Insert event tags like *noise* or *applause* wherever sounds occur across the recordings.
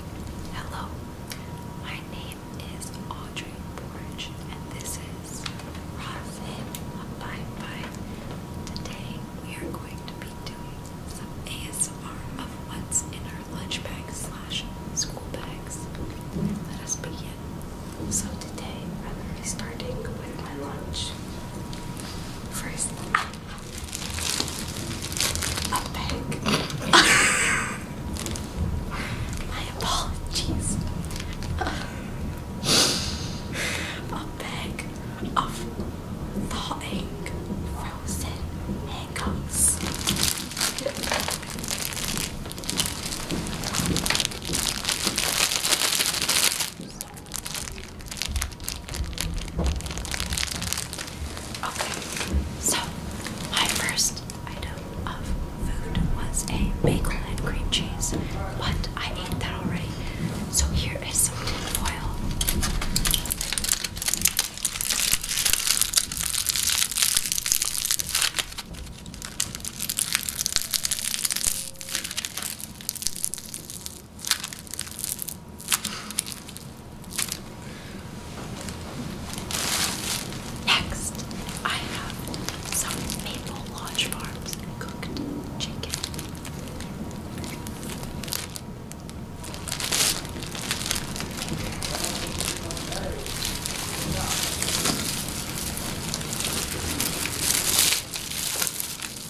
Hello, my name is Audrey Porridge, and this is Rosin Abide By. Today, we are going to be doing some ASMR of what's in our lunch bag school bags. Let us begin. So today, I'm going to be starting with my lunch. First, a bag. *laughs* My apologies. a bag of thawing frozen handcuffs. Okay, so my first item of food was a bagel and cream cheese. What? I ate that already. So here is some tin foil. Next, I have some Maple Lodge Farms cooked chicken.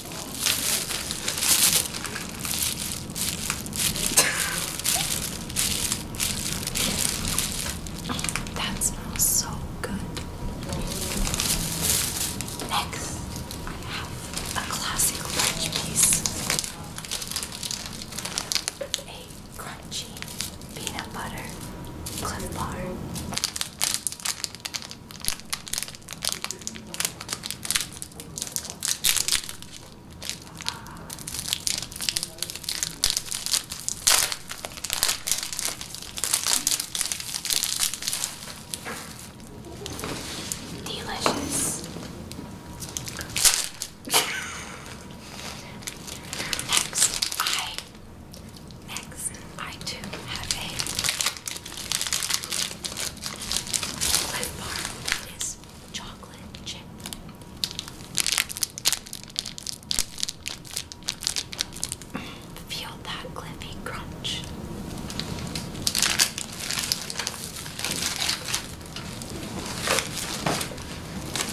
*laughs* that smells so good. Next, I have a classic lunch piece. A crunchy peanut butter clip bar. Delicious. *laughs* next, I next I do have a Cliff Bar is chocolate chip. Feel that cliffy crunch.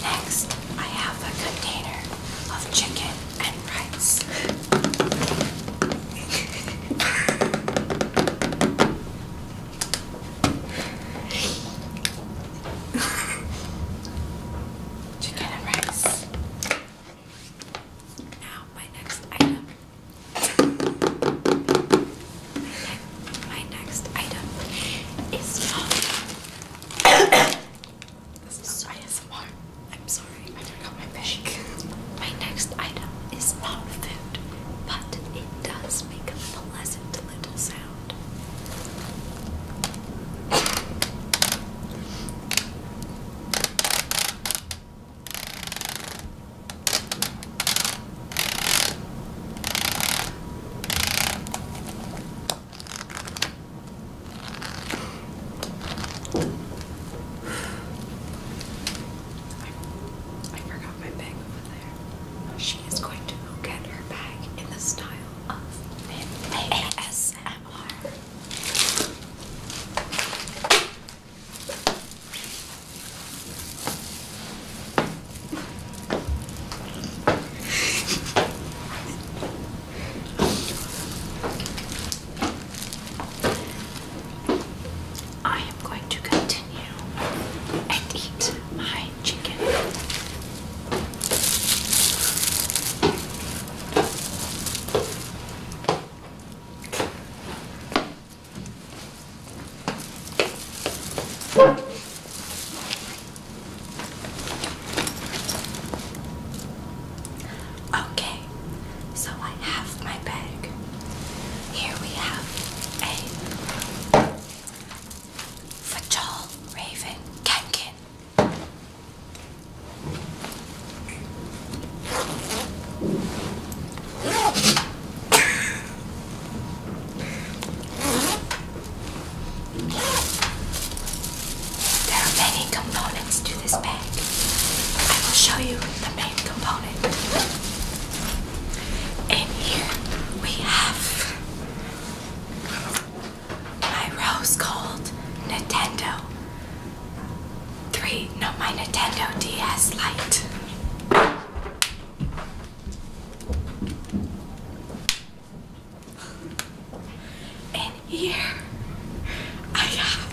Next, I have a container of chicken and rice. Chicken and rice. Now, my next item. My, ne my next item is from. *coughs* this is not I'm sorry. I do my bag. *laughs* my next item is not food, but it does make a pleasant little sound. I, forgot my bag over there. She is going to go get her bag in the style of ASMR. I am going to continue and eat my chicken. Okay, so I have my bag. Here we have a Fatal Raven Kankin. There are many components to this bag. I will show you the main component. In here we have my rose gold Nintendo 3, no, my Nintendo DS Lite. And here I have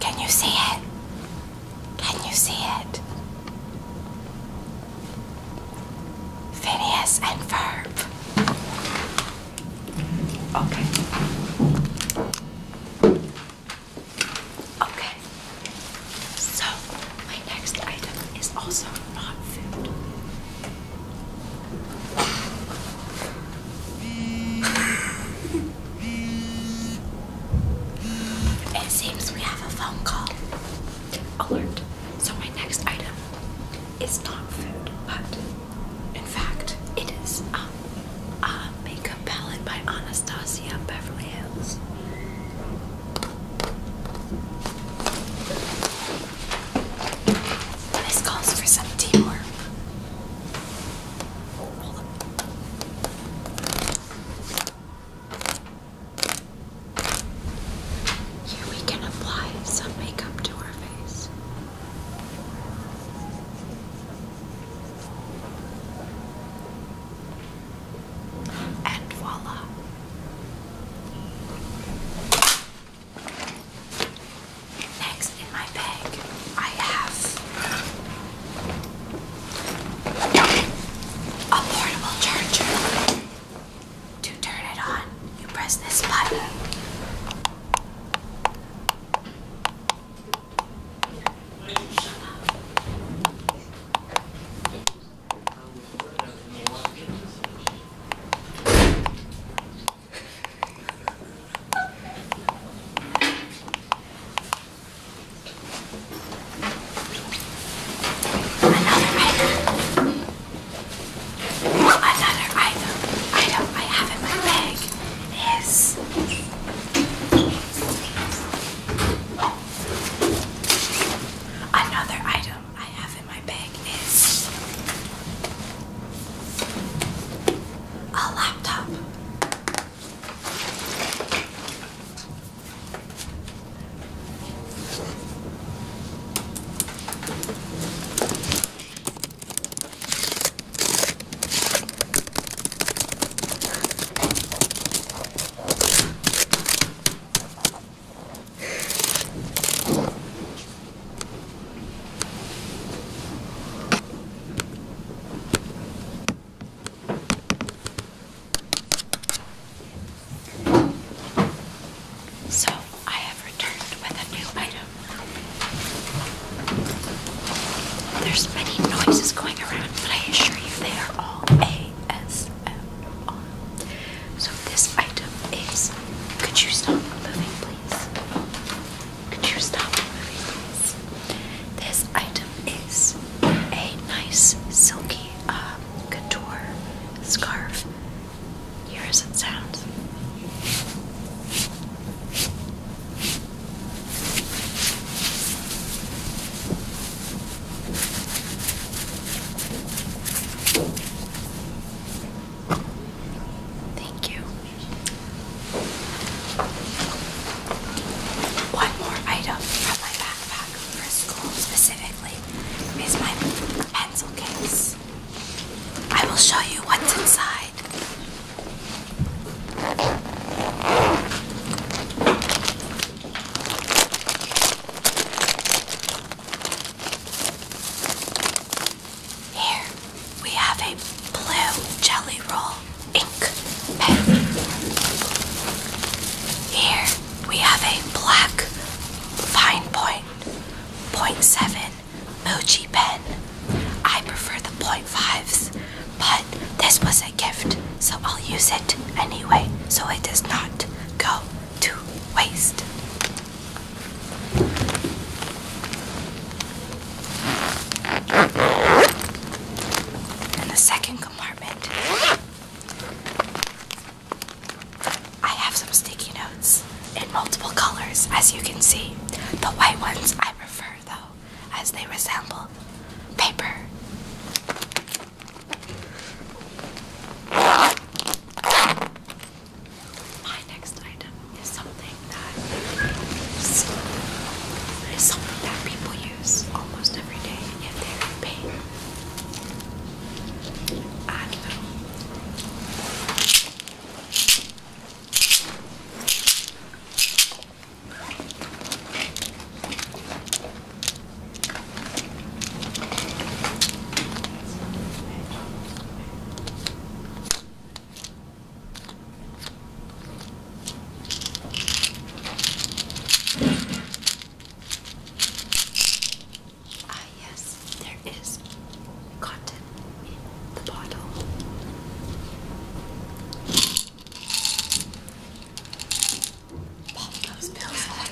Can you see it? Can you see it? Phineas and Ferb. Okay. Okay. So, my next item is also not food. it seems we have a phone call alert. So, my next item is not food, but in fact, it is um, a makeup palette by Anastasia Beverly Hills. This calls for some teamwork. Here we can apply some makeup to our face. And voila. Next in my bag, I have a portable charger. To turn it on, you press this button. Another item, item I have in my bag is Another item I have in my bag is a laptop. So I have returned with a new item. There's many noises going around, but I assure you they are all ASMR. So this item is. Could you stop moving, please? Could you stop moving, please? This item is a nice silky um, couture scarf. Here as it sounds. Thank you. One more item from my backpack for school specifically is my pencil case. I will show you what's inside. Here we have a blue jelly roll ink pen. Here we have a black fine point, point 0.7 Muji pen. I prefer the 0.5s, but this was a gift, so I'll use it anyway, so it does not go to waste. In the second compartment, I have some sticky notes in multiple colors, as you can see. The white ones I prefer, though as they resemble paper. My next item is something that people use almost every day if they're in pain. Ah, yes, there is cotton in the bottle. Pop those pills on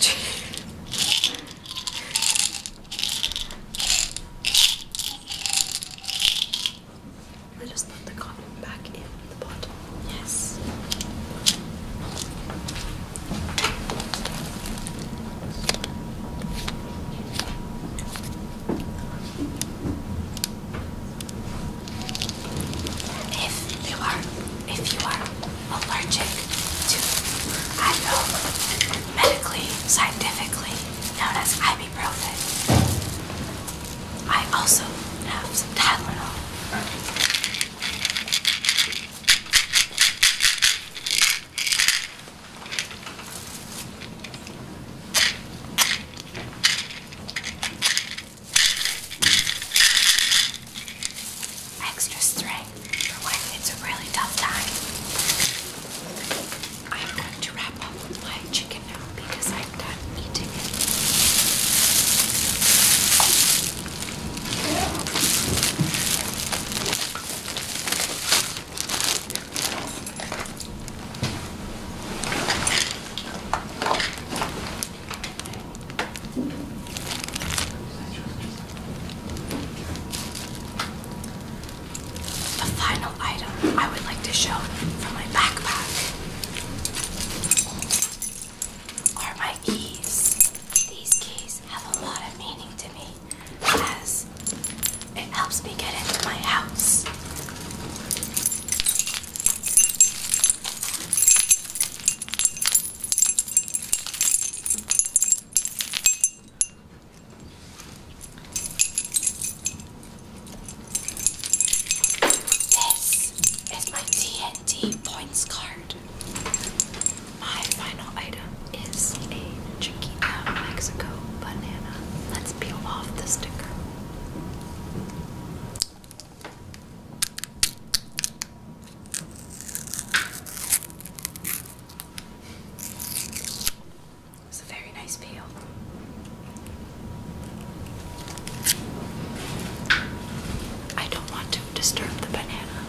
I just put the cotton back in the bottle. Yes. If you are, if you are allergic to, I know, medically, scientifically known as ibuprofen, I also have some Tylenol. Extra strength for when it's a really tough time. I'm going to wrap up my chicken now because I'm done eating the final item I would like to show from my backpack are my keys. These keys have a lot of meaning to me as it helps me get into my house. This is my TNT points card. My final item is a Chiquita Mexico banana. Let's peel off the sticker. It's a very nice peel. I don't want to disturb the banana.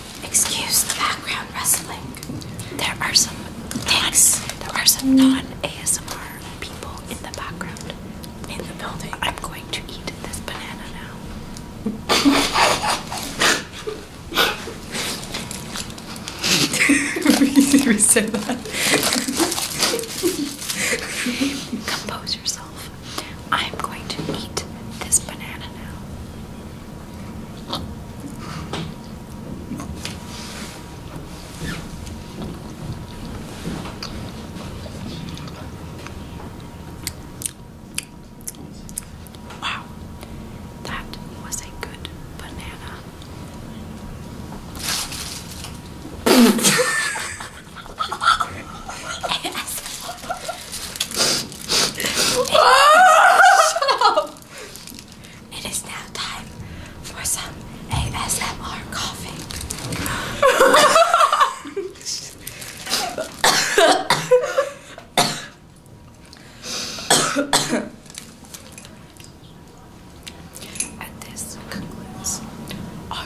excuse the background wrestling. There are some thanks. There are some non-ASMR people in the background. In the building. I'm going to eat this banana now. Did *laughs* we that? Compose yourself. I'm going to eat this banana now. Wow, that was a good banana. yes. *laughs* *laughs* It is now time for some ASMR coughing. and this concludes our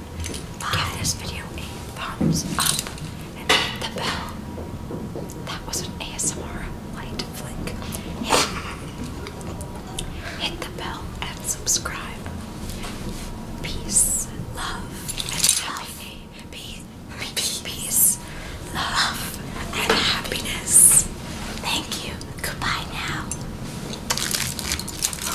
Give this video a thumbs up and hit the bell. That was an ASMR light flick. Hit, the bell and subscribe. Peace, love, and happiness. Peace, peace, peace, love, and happiness. Thank you. Goodbye now.